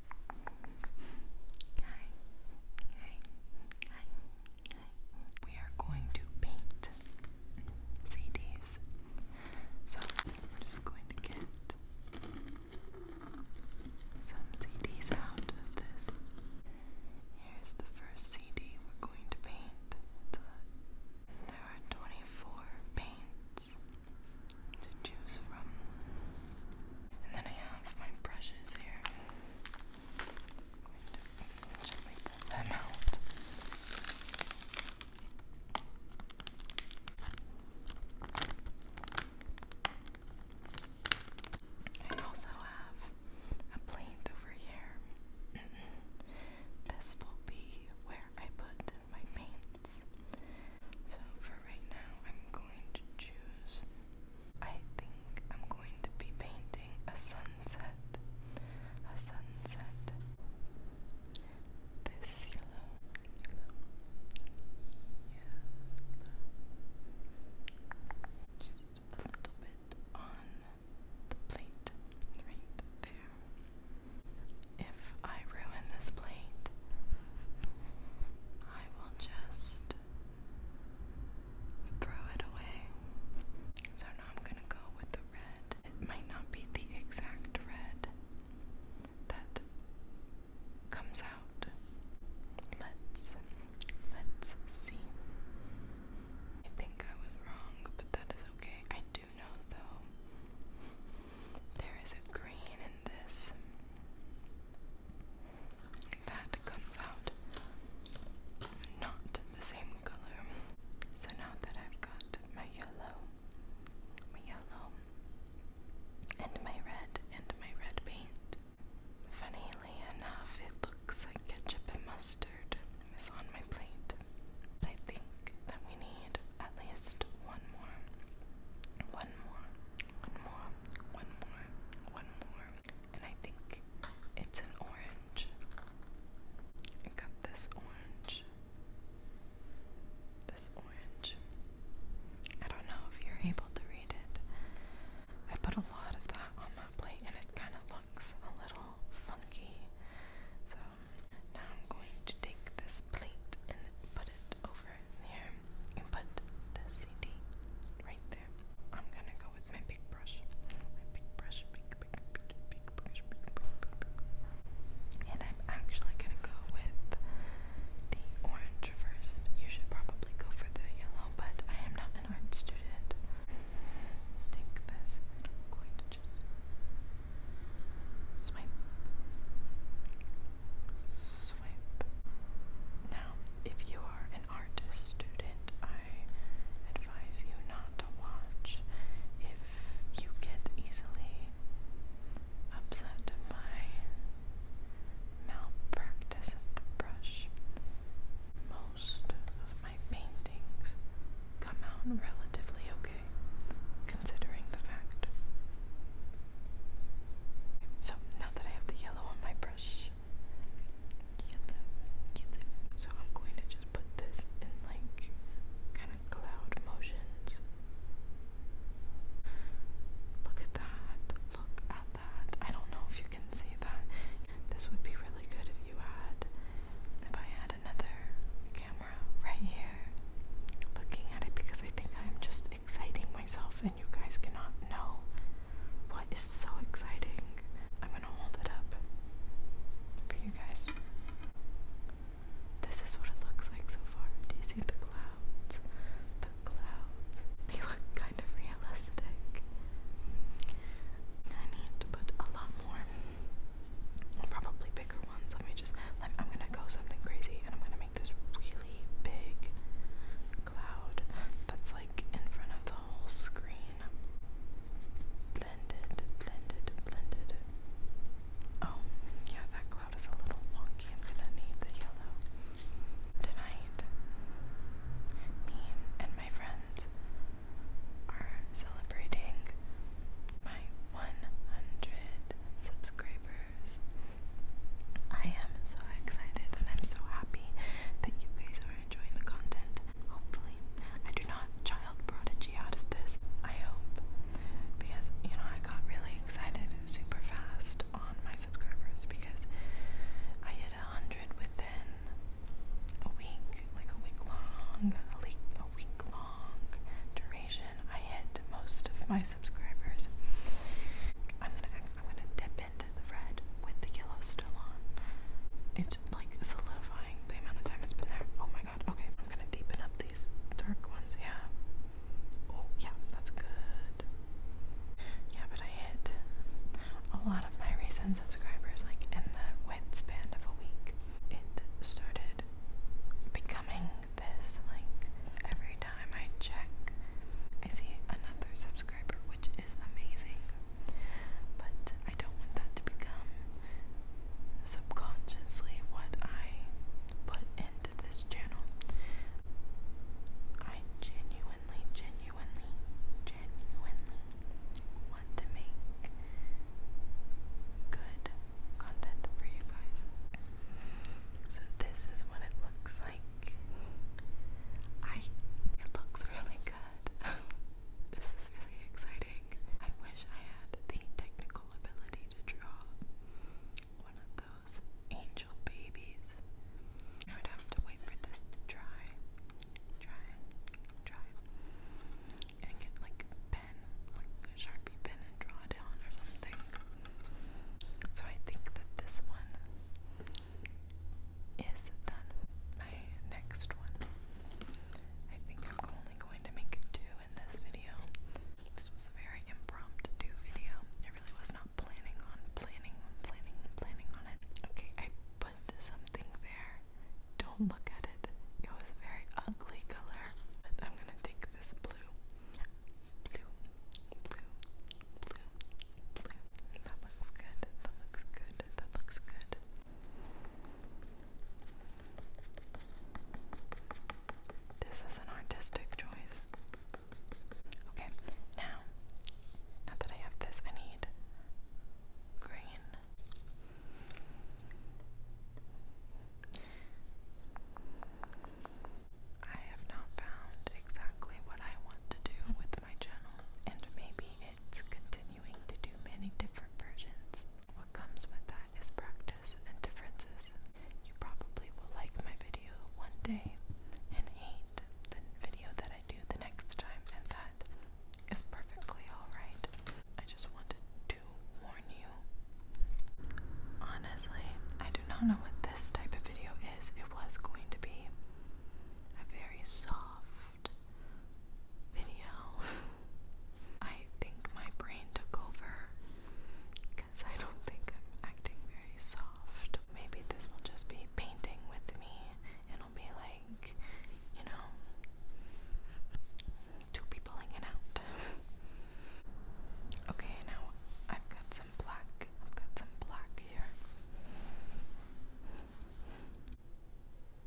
Okay. Okay. We are going to paint CDs. So we're just going to get some CDs out of this. Here's the first CD we're going to paint. there are 24 paints to choose from. And then I have my brushes here. I'm going to gently pull them out. I also have a plate over here. this will be where I put my paint. So for right now, I'm going to choose. I think I'm going to be painting a sunset. A sunset. This yellow, yellow, yellow. Just a little bit on the plate right there. If I ruin this plate, I will just throw it away. So now I'm gonna go with the red. It might not be the exact red that comes out. Let's let's see. I think I was wrong, but that is okay. I do know though there is a green in this that comes out not the same color. So now that I've got my yellow, my yellow, and my red, and my red paint, funnily enough, it looks like ketchup and mustard is on my plate. I think that we need at least one more, one more, one more, one more, one more. And I think it's an orange. I got this orange. This orange. I don't know if you're able to read it. I put a lot of that on that plate and it kind of looks a little funky. So now I'm going to take this plate and put it over there and put the CD right there. I'm gonna go with my big brush. big brush, big, big, big, big brush, big, big, big, big. And I'm actually gonna go with the orange first. You should probably go for the yellow, but I am not an art student. Take this. I'm going to just swipe, swipe. Now, if you are an artist student, I advise you not to watch if you get easily upset by malpractice of the brush. Most of my paintings come out relatively okay, considering the fact so now that I have the yellow on my brush, So I'm going to just put this in like kind of cloud motions. Look at that. Look at that. I don't know if you can see that. This would be really good if you had if I had another camera right here looking at it because I think I'm just exciting myself, and you guys cannot know what is so exciting. I'm gonna hold it up for you guys. This is what it looks like so far. Do you see the clouds? The clouds. They look kind of realistic. I need to put a lot more, probably bigger ones. Let me just. I'm gonna go something crazy, and I'm gonna make this really big cloud that's like in front of the whole screen. Blended, blended, blended. Oh, yeah, that cloud is a little wonky. I'm gonna need the yellow. Tonight, me and my friends are celebrating my 100 subscriber I am so excited and I'm so happy that you guys are enjoying the content. Hopefully, I do not child prodigy out of this. I hope. Because, you know, I got really excited super fast on my subscribers because I hit a 100 within a week, like a week long, a week, a week long duration. I hit most of my subscribers. I'm gonna I'm gonna dip into the red with the yellow still on. It's like solidifying the amount of time it's been there. Oh my god. Okay, I'm gonna deepen up these dark ones. Yeah. Oh yeah, that's good. Yeah, but I hit a lot of my recent subscribers like in the width span of a week. It started becoming this like every time I check. I see another subscriber, which is amazing, but I don't want that to become subconsciously what I put into this channel. I genuinely, genuinely, genuinely want to make good content for you guys. So this is what it looks like. I it looks really good. this is really exciting. I wish I had the technical ability to draw one of those angel babies. I would have to wait for this to dry. Dry, dry. And get like a Sharpie pen, and draw down or something. So I think that this one is done. My next one. I think I'm only going to make two in this video. This was a very impromptu video. I really was not planning on planning planning planning on it. Okay, I put something there. Don't look at it. It was a very ugly color. But I'm gonna take this blue blue, blue, blue, blue. That looks good. That looks good. That looks good. This is an artistic choice. Okay, now, now that I have this, I need green. I have not found exactly what I want to do with my channel, and maybe it's continuing to do many different versions. What comes with that is practice and differences. You probably will like my video one day and hate the video that I do the next time, and that is perfectly alright. I just wanted to warn you. Honestly, I do not know what this type of video is. It was going to be a very soft video. I think my brain took over because I don't think I'm acting very soft. Maybe this will just be painting with me. It'll be like, you know, two people hanging out. okay, now I've got some black. I've got some black here.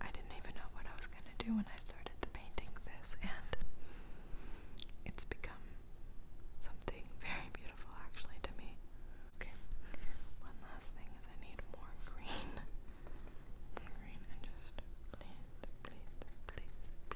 I didn't even know what I was gonna do when I started painting this, and it's become something very beautiful actually to me. Okay, one last thing is I need more green. More green and just please, please, please,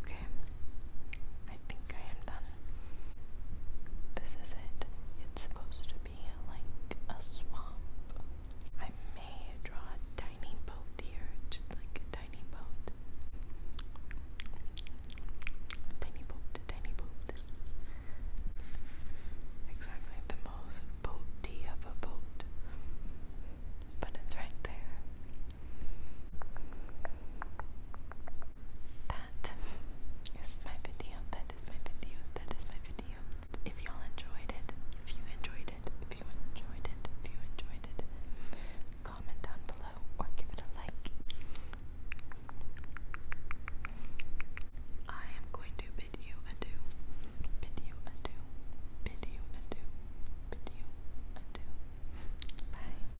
Okay, I think I am done. This is it. It's supposed to be like a swamp. I may draw a tiny boat here, just like a tiny boat. Tiny boat, tiny boat. Exactly the most boaty of a boat. But it's right there that is my video. That is my video. That is my video. If y'all enjoyed it, if you enjoyed it, if you enjoyed it, if you enjoyed it, comment down below or give it a like. I am going to bid you adieu. Bid you adieu. Bid you adieu. Bid you adieu. Bye.